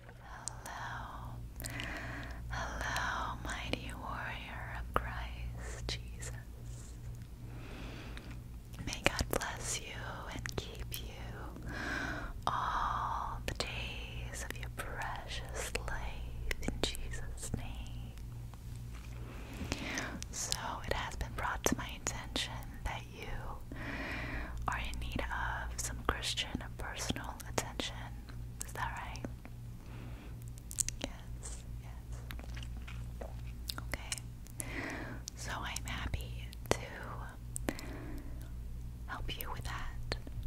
Hello, hello, mighty warrior of Christ Jesus. May God bless you and keep you all the days of your precious life in Jesus' name. So it has been brought to my attention that you are in need of some Christian personal attention. Is that right? Yes, yes. Okay. So I'm happy to help you with that.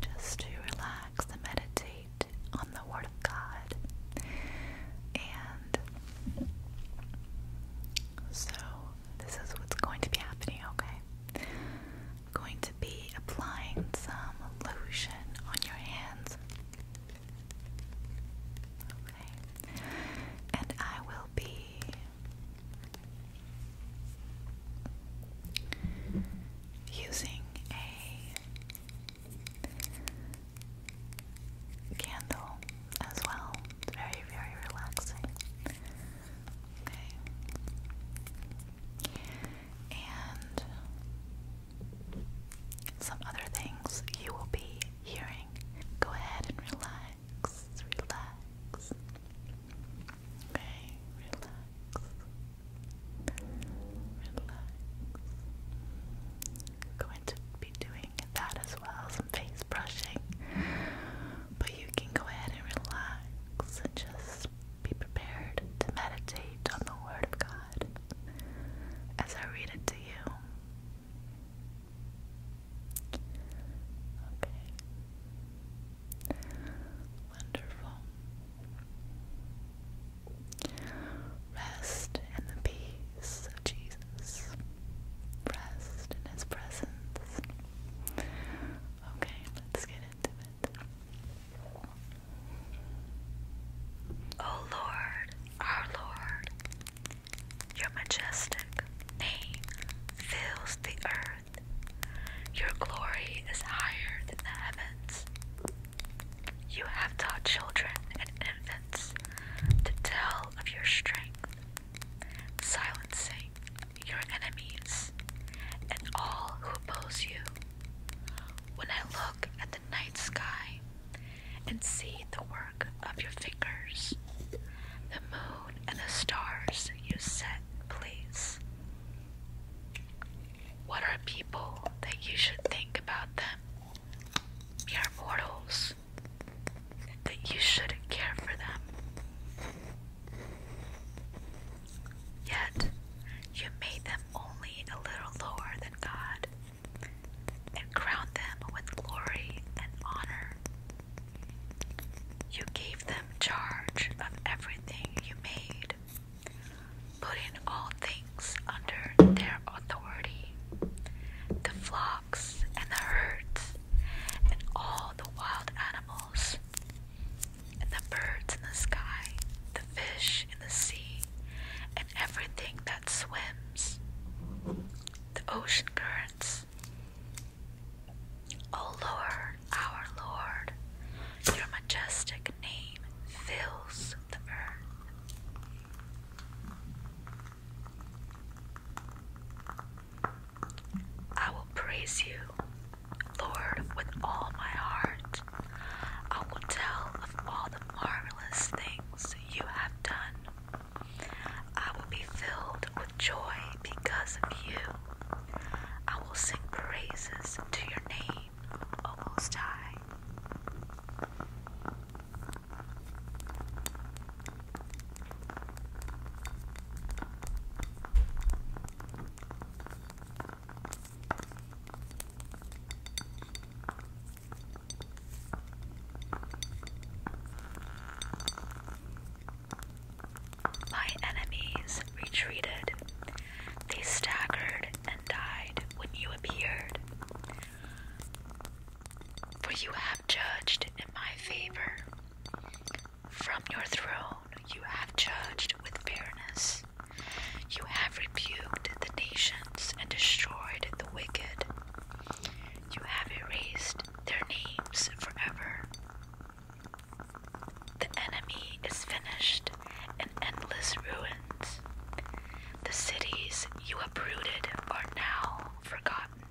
Just to relax and meditate on the Word of God. And so, this is what's going to be happening, okay? going to be applying some lotion on your hands. Okay. And I will be using a candle as well. It's very, very relaxing. Okay. And some other things you will be hearing. Go ahead and relax, relax. Okay, relax. Relax. Going to be doing doing that as well, some face brushing. But you can go ahead and relax and just be prepared to meditate on the Word of God as I read it to you. Okay. Wonderful. Rest in the peace of Jesus. Rest in his presence. Okay, let's get into it. O Lord, our Lord, your majestic name fills the earth. Your glory is higher than the heavens. You have taught children and infants to tell of your strength, silencing your enemies and all who oppose you. When I look at the night sky and see the work of your fingers, the moon and the stars you set place, what are people that you should think about them? We are mortals. You should care for them. Yet, you made them only a little lower than God, and crowned them with glory and honor. You gave them charge of everything you made, God, putting all things under their authority, the flocks and the herds, and all the wild animals, and the birds in the sky, the fish in the sea, and everything that swims, the ocean currents. O Lord, our Lord, your majestic name fills the earth. I will praise you, Lord, with all my heart. I will tell of all the marvelous things you have done. I will be filled with joy because of you. I will sing praises to your name almost high. My enemies retreated. They staggered and died when you appeared. For you have judged in my favor. From your throne you have judged with fairness. You have rebuked the nations and destroyed the wicked. You have erased their names forever. The enemy is finished in endless ruins. The cities you uprooted are now forgotten.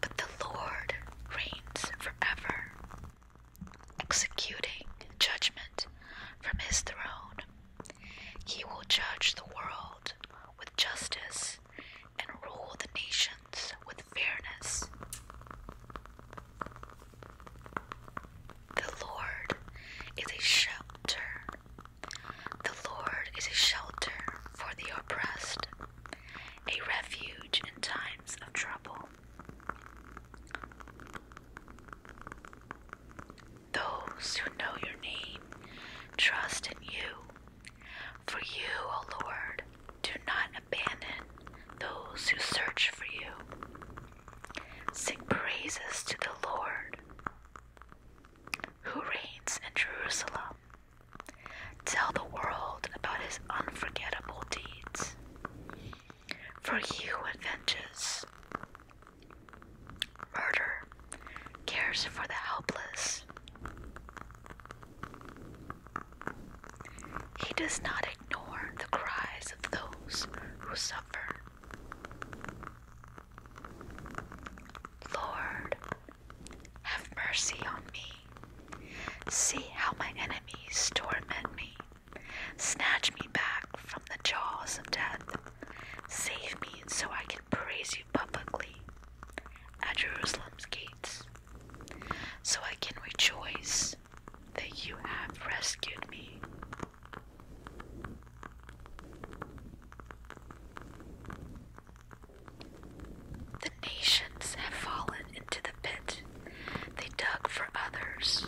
But the Lord reigns forever, executing judgment from his throne. He will judge the world with justice and rule the nations with fairness. The Lord is a shelter. The Lord is a shelter for the oppressed, a refuge in times of trouble. Those who know your name trust in you, for you, O Lord, do not abandon those who search for you. Sing praises to the Lord who reigns in Jerusalem. Tell the world about his unforgettable deeds. For he who avenges murder cares for the helpless. He does not ignore the cries of those who suffer. Lord, have mercy on me. See how my enemies torment me. Snatch me back from the jaws of death. Save me so I can praise you publicly at Jerusalem's gates so I can rejoice that you have rescued me. The nations have fallen into the pit they dug for others.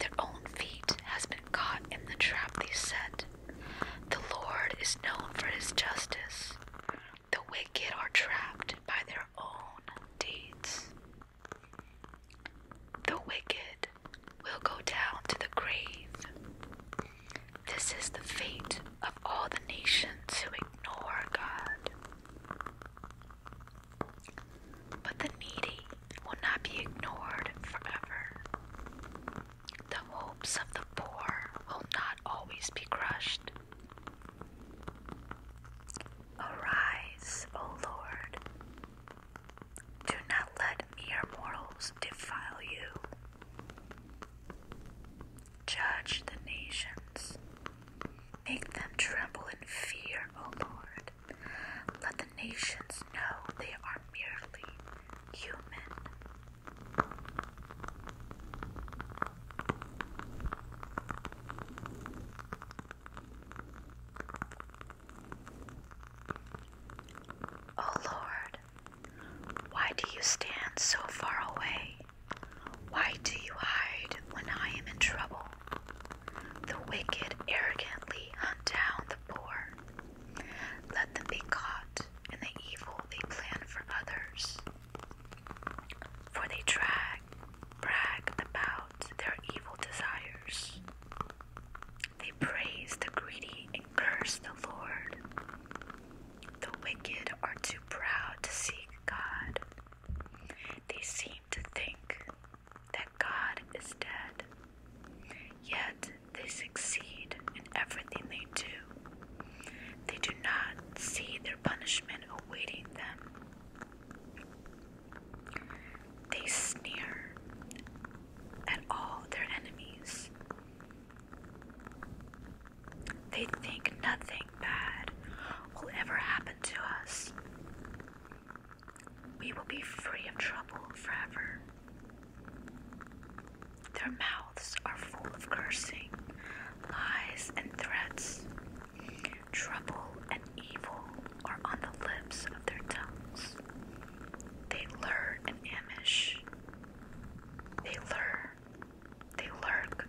Their own feet has been caught in the trap they set. The Lord is known for his justice. The wicked are trapped by their own deeds. The wicked will go down to the grave. This is the fate of all the nations who ignore God. But the needy will not be ignored forever. The hopes of the poor will not always be crushed. Arise, O Lord. Do not let mere mortals defile you. Judge the nations. Make them tremble in fear, O Lord. Let the nations know they are merely human. O oh, Lord, why do you stand so far away? Why do you hide when I am in trouble? The wicked arrogantly hunt down the poor. Let them be caught and the evil they plan for others. For they drag, brag about their evil desires. They praise the greedy and curse the Lord. The wicked are too proud to seek God. They seem to think that God is dead. Yet they succeed in everything they do. They do not see their punishment awaiting them. They sneer at all their enemies. They think nothing bad will ever happen to us. We will be free of trouble forever. Their mouths are full of cursing, lies, and threats. Trouble and evil are on the lips of their tongues. They lure and ambush. They lure, they lurk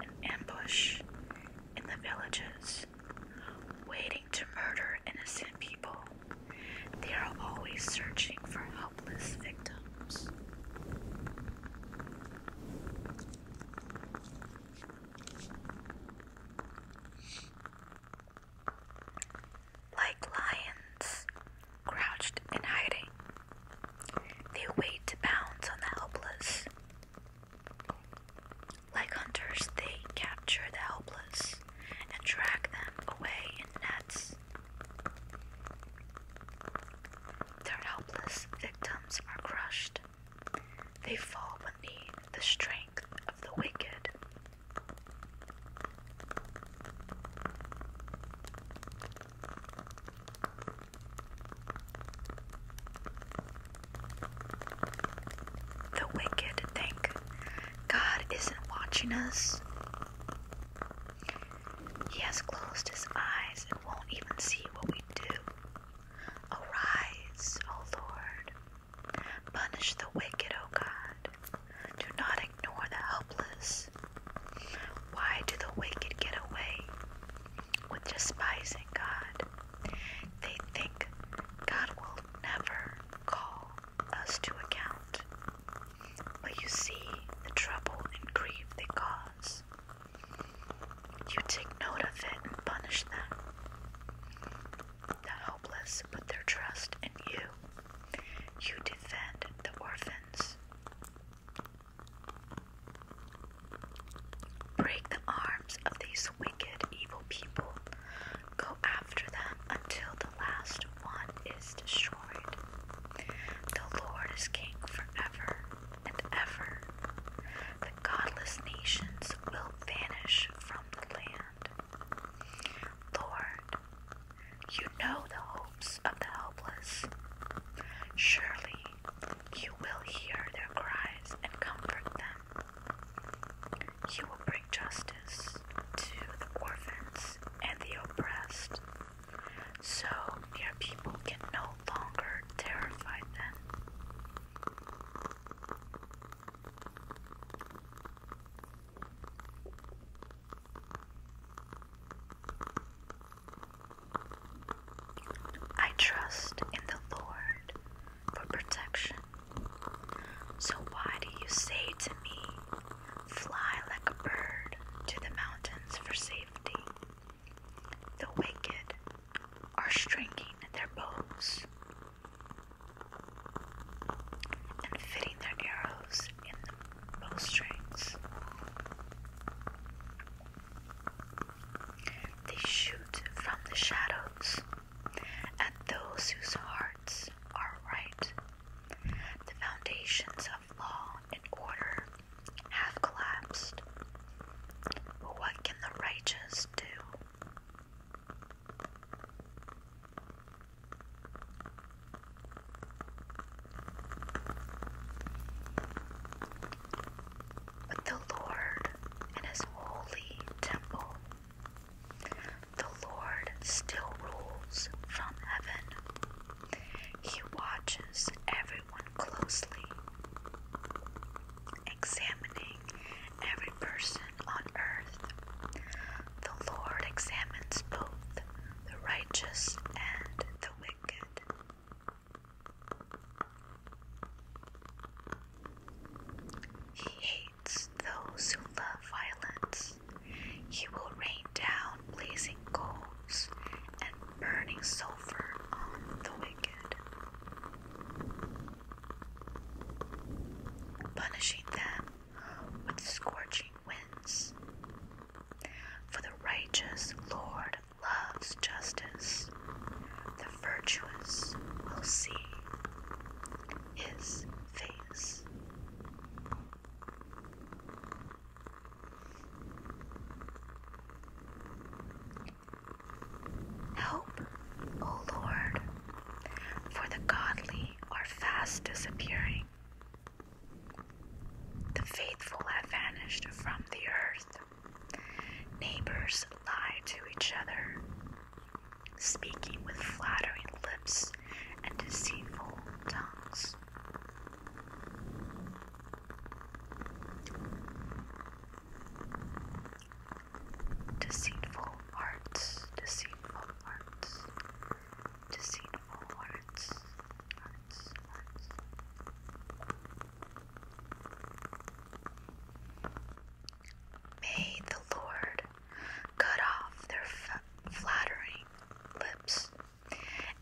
and ambush in the villages, waiting to murder innocent people. They are always searching for help. Like lions, crouched in hiding, they wait to pounce on the helpless. Like hunters, they capture the helpless and drag them away in nets. Their helpless victims are crushed. They fall beneath the strength of the wicked. The wicked think God isn't watching us. He has closed his eyes and won't even see what we do. Arise, O Lord. Punish the wicked, O God. Do not ignore the helpless. Why do the wicked get away with despising God? They think God will never call us to account, but you see the trouble and grief they cause. You take note of it and punish them. The helpless put their trust in you. You defend the orphans. Break the arms of these wicked, evil people. Go after them until the last one is destroyed. The Lord is king forever and ever. The godless nations will vanish from the land. Lord, you know the hopes of the helpless. Surely you will hear their cries and comfort them. You will bring justice to the orphans and the oppressed, so your people can no longer terrify them. I trust in the Lord for protection. So why do you say to me, Fly like a bird to the mountains for safety? The wicked are stringing their bows and fitting their arrows in the bowstrings. They shoot from the shadows and those whose hearts are right. The foundations of law and order have collapsed. what can the righteous do? But the Lord in his holy temple the Lord still rules from heaven. He watches everyone closely, examining every person on earth. The Lord examines both the righteous and the wicked. He those who love violence. He will rain down blazing coals and burning sulfur on the wicked, punishing them with scorching winds. For the righteous Lord loves justice, virtuous will see his face. Help, O Lord, for the godly are fast disappearing. The faithful have vanished from the earth. Neighbors lie to each other, speaking with flattering lips and deceitful tongues. Deceitful hearts, deceitful hearts, deceitful hearts, hearts, hearts. May the Lord cut off their flattering lips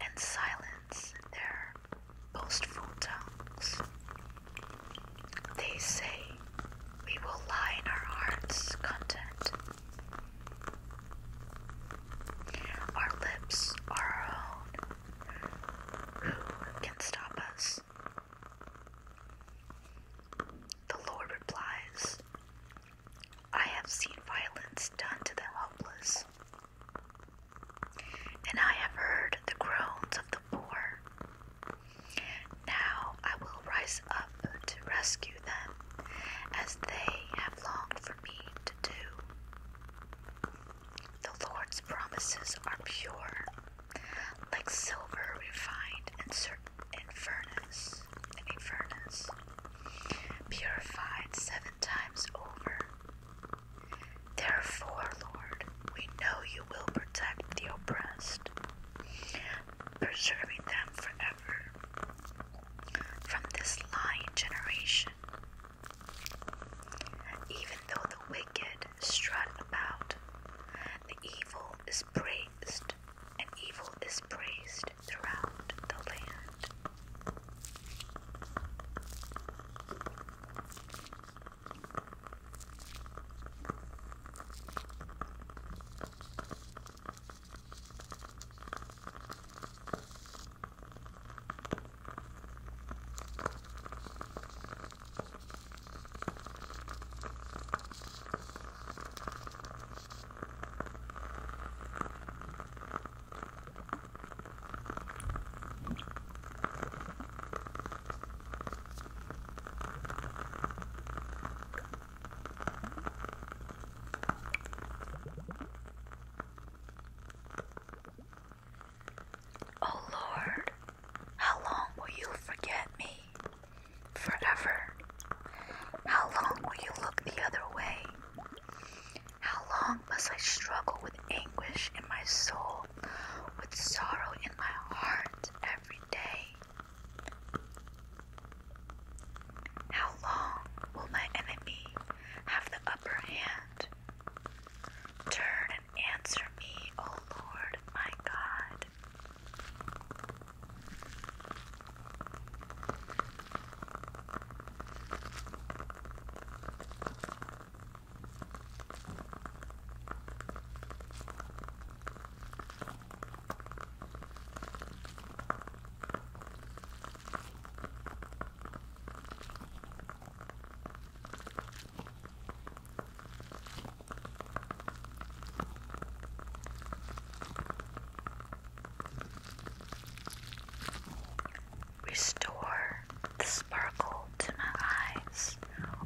and silence their boastful tongues. They say, We will lie in our hearts content. Our lips are our own. Who can stop us? The Lord replies, I have seen violence done to the helpless, and I have heard the groans of the poor. Now I will rise up to rescue them, as they have longed for me to do. The Lord's promises are pure, like silver refined in, in furnace, in furnace, purified seven times over. Therefore, Lord, we know you will protect the oppressed, preserving them forever from this lying generation. Even though the wicked strut about. The evil is praised, and evil is praised throughout the land. Oh Lord, how long will you forget me? Forever. How long will you look the other way? How long must I struggle with anguish in my soul, with sorrow in my heart every day? How long will my enemy have the upper hand? Turn and answer me, O Lord my God. Restore the sparkle to my eyes,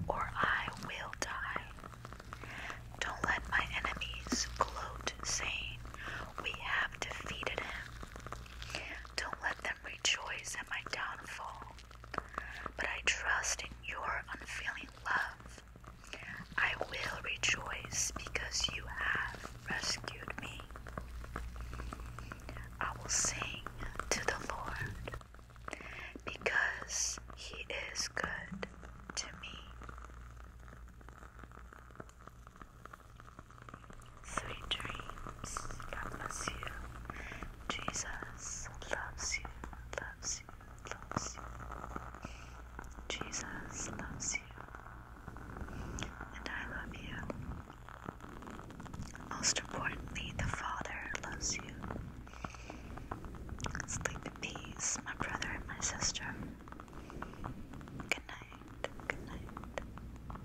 or I will die. Don't let my enemies gloat, saying, We have defeated him. Don't let rejoice at my downfall, but I trust in your unfailing love. I will rejoice because you have rescued me. I will sing to the Lord because he is good to me. Three dreams. God bless you. Jesus loves you, loves you, loves you. Jesus loves you. And I love you. Most importantly, the Father loves you. Sleep in peace, my brother and my sister. Good night, good night.